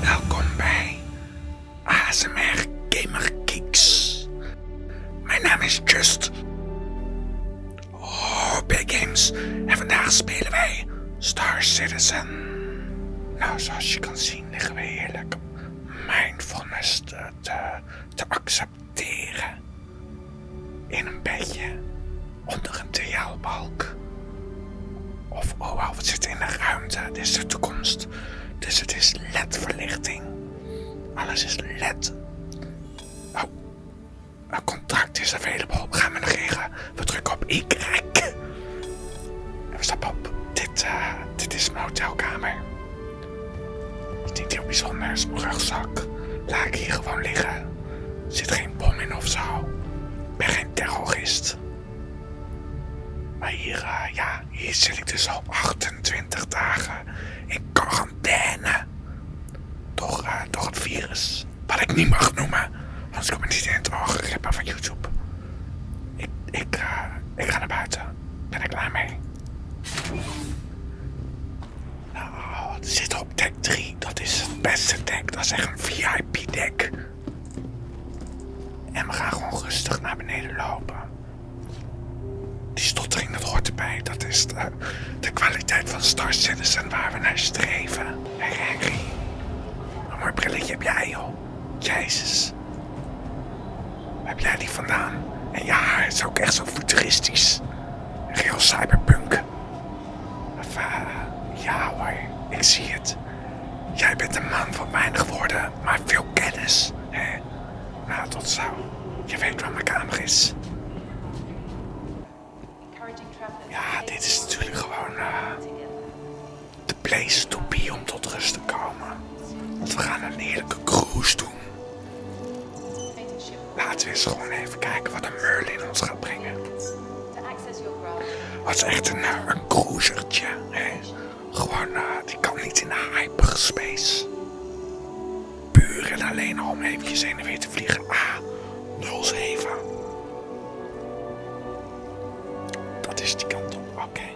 Welkom bij ASMR Gamer Geeks. Mijn naam is Just. Oh, Big Games. En vandaag spelen wij Star Citizen. Nou, zoals je kan zien liggen we heerlijk mindfulness te, te, Teren In een bedje onder een triaalbalk. Of oh wow, het zit in de ruimte. Dit is de toekomst. Dus het is led verlichting Alles is led. Oh, een contract is available. Gaan we negeren. We drukken op Y. En we stappen op. Dit, eh, dit is mijn hotelkamer is niet heel bijzonder, is rugzak. Laat ik hier gewoon liggen. Er zit geen bom in of zo. Ik ben geen terrorist. Maar hier, eh, ja, hier zit ik dus al 28 dagen in quarantaine. Door, uh, door het virus. Wat ik niet mag noemen, anders kom in het algoritme van YouTube. Ik, ik, eh, ik ga naar buiten. Ben ik klaar mee? Nou, het zit op deck 3. Dat is het beste deck. Dat is echt een VIP deck. En we gaan gewoon rustig naar beneden lopen. Die stottering, dat hoort erbij. Dat is de, kwaliteit van Star Citizen waar we naar streven. Hey Henry, een mooi brilletje heb jij, joh. Jezus. Heb jij die vandaan? En ja, het is ook echt zo futuristisch. Heel cyberpunk. Eh, ja hoor, ik zie het. Jij bent een man van weinig woorden, maar veel kennis. Hè? Nou, tot zo. Je weet waar mijn kamer is. Ja, dit is natuurlijk gewoon de eh, place to be om tot rust te komen. Want we gaan een heerlijke cruise doen. Laten we eens gewoon even kijken wat een Merlin ons gaat brengen. Het is echt een, eh, een cruisertje. Gewoon, eh, die kan niet in de hyperspace. Puur en alleen om eventjes heen en weer te vliegen. A07. dat is die kant op, oké.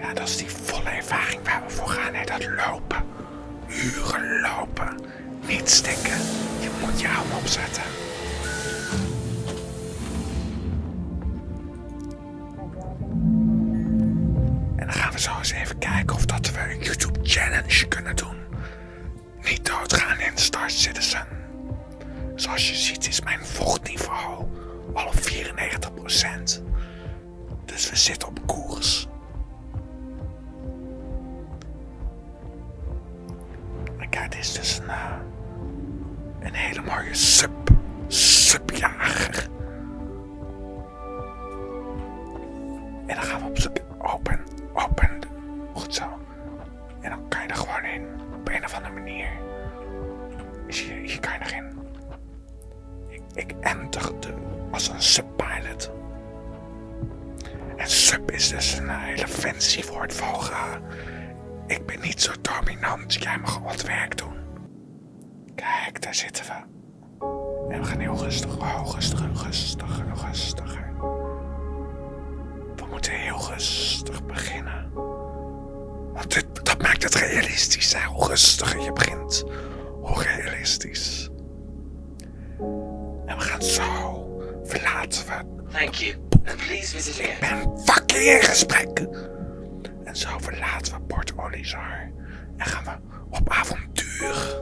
Ja, dat is die volle ervaring waar we voor gaan, hè? dat lopen. Huren lopen. Niet stikken. Je moet je arm opzetten. En dan gaan we zo eens even kijken of dat we een YouTube challenge kunnen doen. Niet doodgaan in Star Citizen. Zoals je ziet is mijn vochtniveau al op 94%. Dus we zitten op koers. Kijk, dit is dus een, hele mooie sub, subjager. En dan gaan we op zoek, open, open, goed zo. En dan kan je er gewoon in, op een of andere manier. Is je hier kan erin. Ik, enter eh, als een subpilot. En sub is dus een hele fancy woord voor ik ben niet zo dominant, jij mag wat werk doen. Kijk, daar zitten we. En we gaan heel rustig, oh, rustig, rustiger, rustiger. We moeten heel rustig beginnen. Want dat maakt het realistisch, heel hoe rustiger je begint, hoe realistisch. En we gaan zo verlaten we. Thank you. And please visit again. Ik ben fucking in gesprek. En zo verlaten we Port En gaan we op avontuur.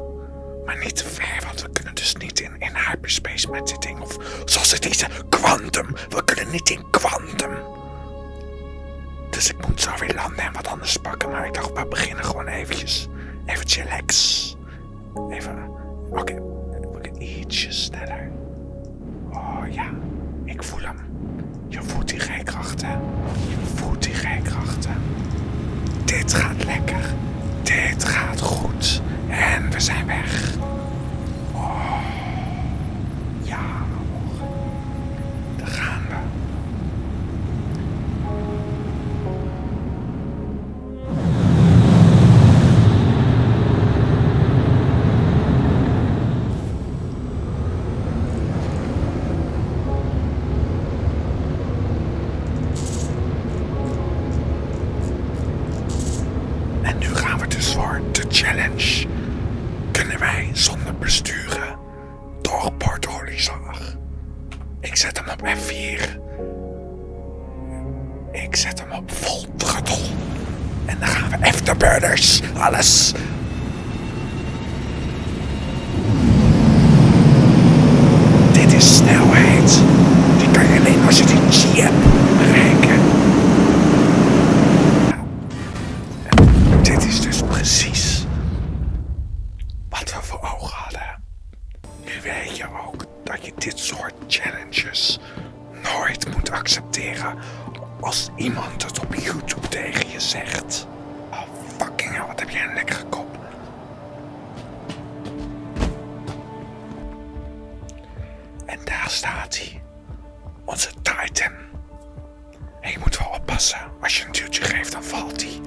Maar niet te ver, want we kunnen dus niet in, hyperspace met dit ding. Of zoals het is, quantum. We kunnen niet in quantum. Dus ik moet zo weer landen en wat anders pakken. Maar ik dacht, we beginnen gewoon eventjes. Even chillax. Even. Oké, dan we ik ietsje sneller. Oh ja, ik voel hem. Je voelt die rijkrachten. Je voelt die rijkrachten. Dit gaat lekker. Dit gaat goed. En we zijn weg. Oh. Ja. Oh. Dan gaan we. En nu gaan we de challenge. Kunnen wij zonder besturen toch portolizar. Ik zet hem op F4. Ik zet hem op vol En dan gaan we afterburners. Alles. Dit is snelheid. Die kan je alleen als je die G hebt bereiken. Nou, dit is dus precies wat we voor ogen hadden. Nu weet je ook dat je dit soort challenges nooit moet accepteren als iemand het op YouTube tegen je zegt. Oh fucking wat heb jij een lekkere kop. En daar staat hij, onze Titan. En je moet wel oppassen. Als je een duwtje geeft, dan valt hij.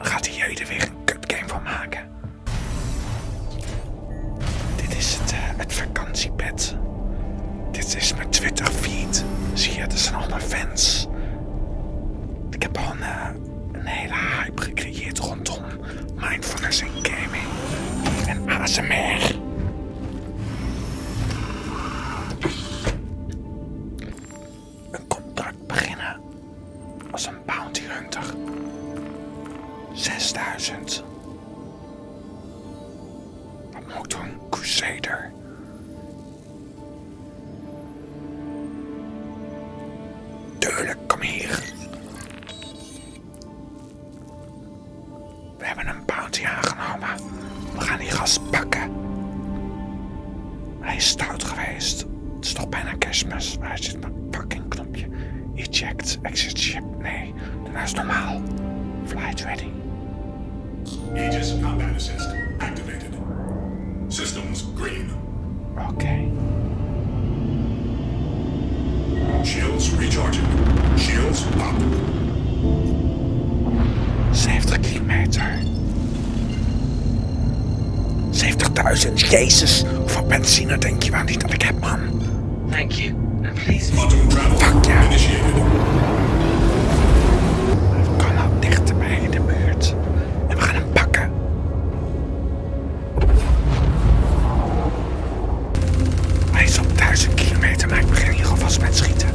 Gaat hij jullie weer een game van maken. Dit is eh, het, vakantiebed. Dit is mijn Twitter feed. Zie je, dat zijn allemaal fans. Ik heb al een, eh, hele hype gecreëerd rondom mindfulness en gaming. En ASMR een contract beginnen als een bounty hunter. 6000. Wat moet een crusader? Tuurlijk, kom hier. We hebben een bounty aangenomen we gaan die gas pakken. Hij is stout geweest. Het is toch bijna kerstmis. Waar zit mijn fucking knopje? Eject, exit ship. Nee, dat is normaal. Flight ready. Aegis combat assist activated. Systems green. Oké. Okay. Shields recharging. Shields up. 70 kilometer. 70.000, Jezus. Hoeveel benzine denk je wel niet dat ik heb, man? Thank you. And please... Fuck ja. Initiated. We kan al dichterbij in de buurt. En we gaan hem pakken. Hij is op 1000 kilometer, maar ik begin hier alvast met schieten.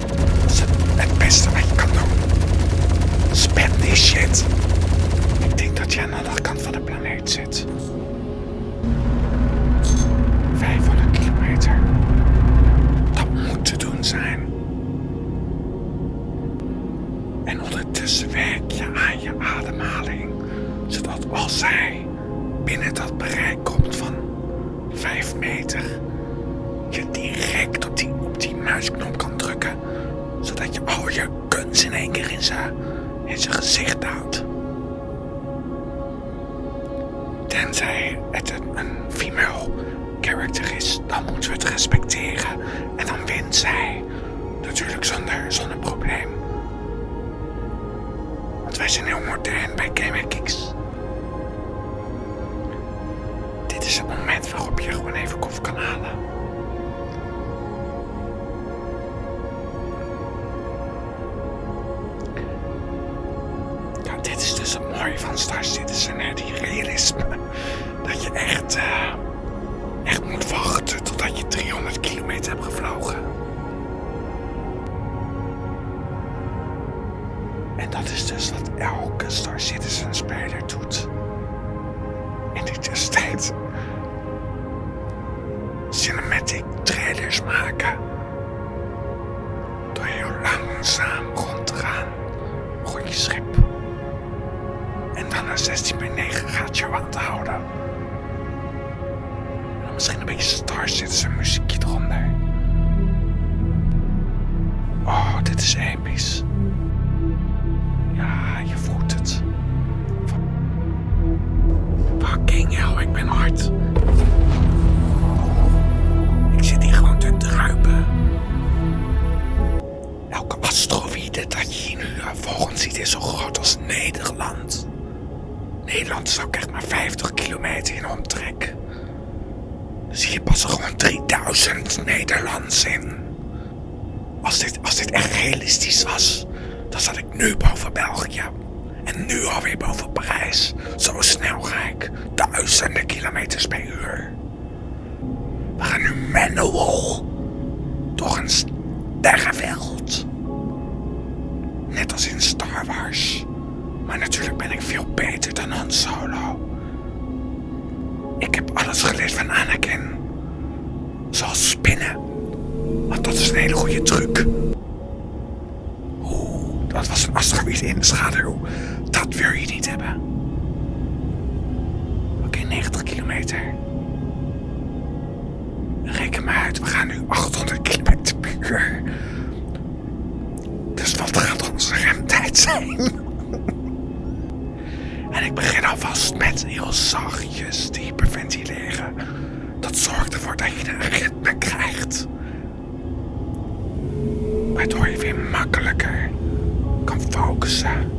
Dat is het beste wat je kan doen. Spend die shit. Ik denk dat je aan de andere kant van de planeet zit. 500 kilometer. Dat moet te doen zijn. En ondertussen werk je aan je ademhaling, zodat als hij binnen dat bereik komt van vijf meter je direct op die, op die muisknop kan drukken. Zodat je al je kunst in één keer in zijn, in gezicht houdt. Tenzij het een, female character is, dan moeten we het respecteren. En dan wint zij. Natuurlijk zonder, zonder probleem. Want wij zijn heel modern bij Game dit is het moment waarop je gewoon even koffie kan halen. Ja, dit is dus het mooie van Star Citizen, die realisme. Dat je echt, eh, echt moet wachten totdat je 300 kilometer hebt gevlogen. En dat is dus wat elke Star Citizen speler doet. En dit is dus tijd. Cinematic trailers maken. Door heel langzaam rond te gaan. Rond je schip. En dan naar 16 bij 9 gaat jou aan te houden. En dan misschien een beetje Star Citizen muziekje eronder. Oh, dit is episch. Ja, je voelt het. Fucking hell, ik ben hard. Ik zit hier gewoon te druipen. Elke asteroïde dat je hier nu eh, volgens ziet is zo groot als Nederland. Nederland is ook echt maar 50 kilometer in omtrek zie je pas er gewoon 3000 Nederlands in. Als dit, als echt realistisch was, dan zat ik nu boven België. En nu alweer boven Parijs. Zo snel ga ik. Duizenden kilometers per uur. We gaan nu manual. Toch een sterrenveld. Net als in Star Wars. Maar natuurlijk ben ik veel beter dan Han Solo. Ik heb alles geleerd van Anakin. Zoals spinnen. Want dat is een hele goede truc. Oeh, dat was een asteroïde in de schaduw. Dat wil je niet hebben. Oké, 90 kilometer. Reken maar uit, we gaan nu 800 kilometer per uur. Dus wat gaat onze remtijd zijn? en ik begin alvast met heel zachtjes te hyperventileren. Dat zorgt ervoor dat je een ritme krijgt. Waardoor je weer makkelijker kan focussen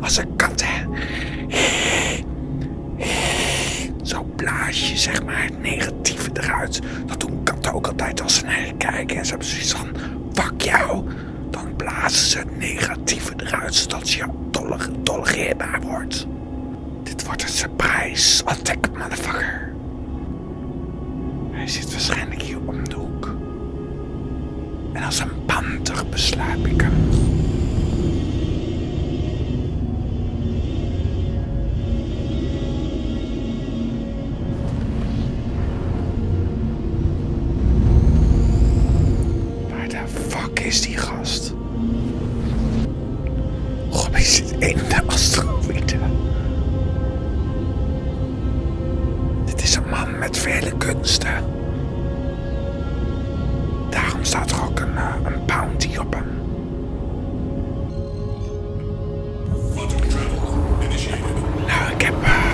als een kat, hè. Zo blaas je, zeg maar, het negatieve eruit. Dat doen katten ook altijd als ze naar je kijken. En ze hebben zoiets van, fuck jou. Dan blazen ze het negatieve eruit, zodat je tolereerbaar wordt. Dit wordt een surprise. Attack, motherfucker. Hij zit waarschijnlijk hier om de hoek. En als een panter beslaap ik hem. Waar de fuck is die gast? God, is dit een de Dit is een man met vele kunsten. Daarom staat er ook eh, een, bounty op hem. Nou, ik heb uh,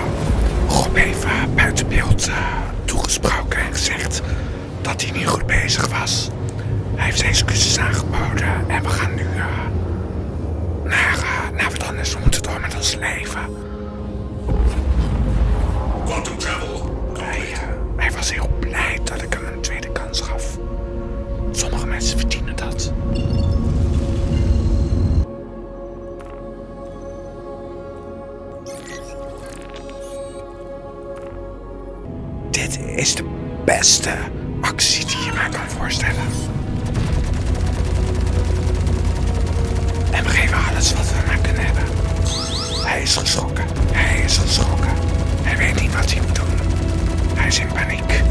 Rob even eh, buiten beeld toegesproken en gezegd dat hij niet goed bezig was. Hij heeft zijn excuses aangeboden en we gaan nu naar, naar wat anders. We moeten door met ons leven travel. Hij, was heel blij dat ik hem een tweede kans gaf. Sommige mensen verdienen dat. Dit is de beste actie die je mij kan voorstellen. En we geven alles wat we maar kunnen hebben. Hij is geschrokken. Hij is geschrokken. Hij weet niet wat hij moet doen. Hij is in paniek.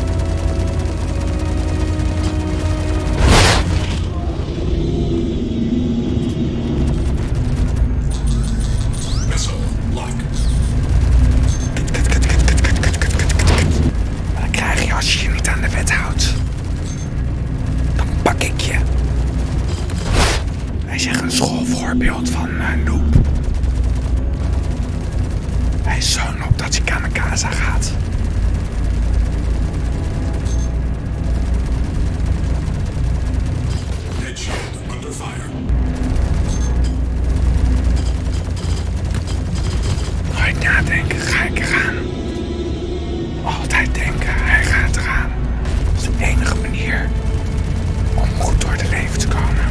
Wat krijg je als je je niet aan de wet houdt? dan pak ik je. Hij is echt een schoolvoorbeeld van een eh, Noob. Hij is zo op dat hij casa gaat. Nooit nadenken, ga ik eraan. Altijd denken, hij gaat eraan. Dat is de enige manier om goed door het leven te komen.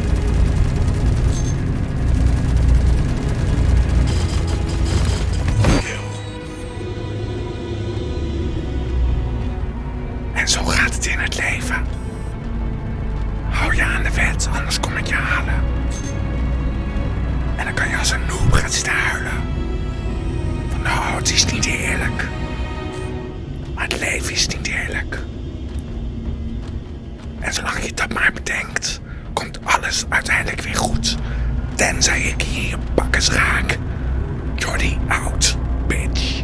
En zo gaat het in het leven. Hou je aan de wet, anders kom ik je halen. En dan kan je als een noob gaan staan. Van het is niet eerlijk. Maar het leven is niet eerlijk. En zolang je dat maar bedenkt, komt alles uiteindelijk weer goed. Tenzij ik je bakkes raak. Jordi out, bitch.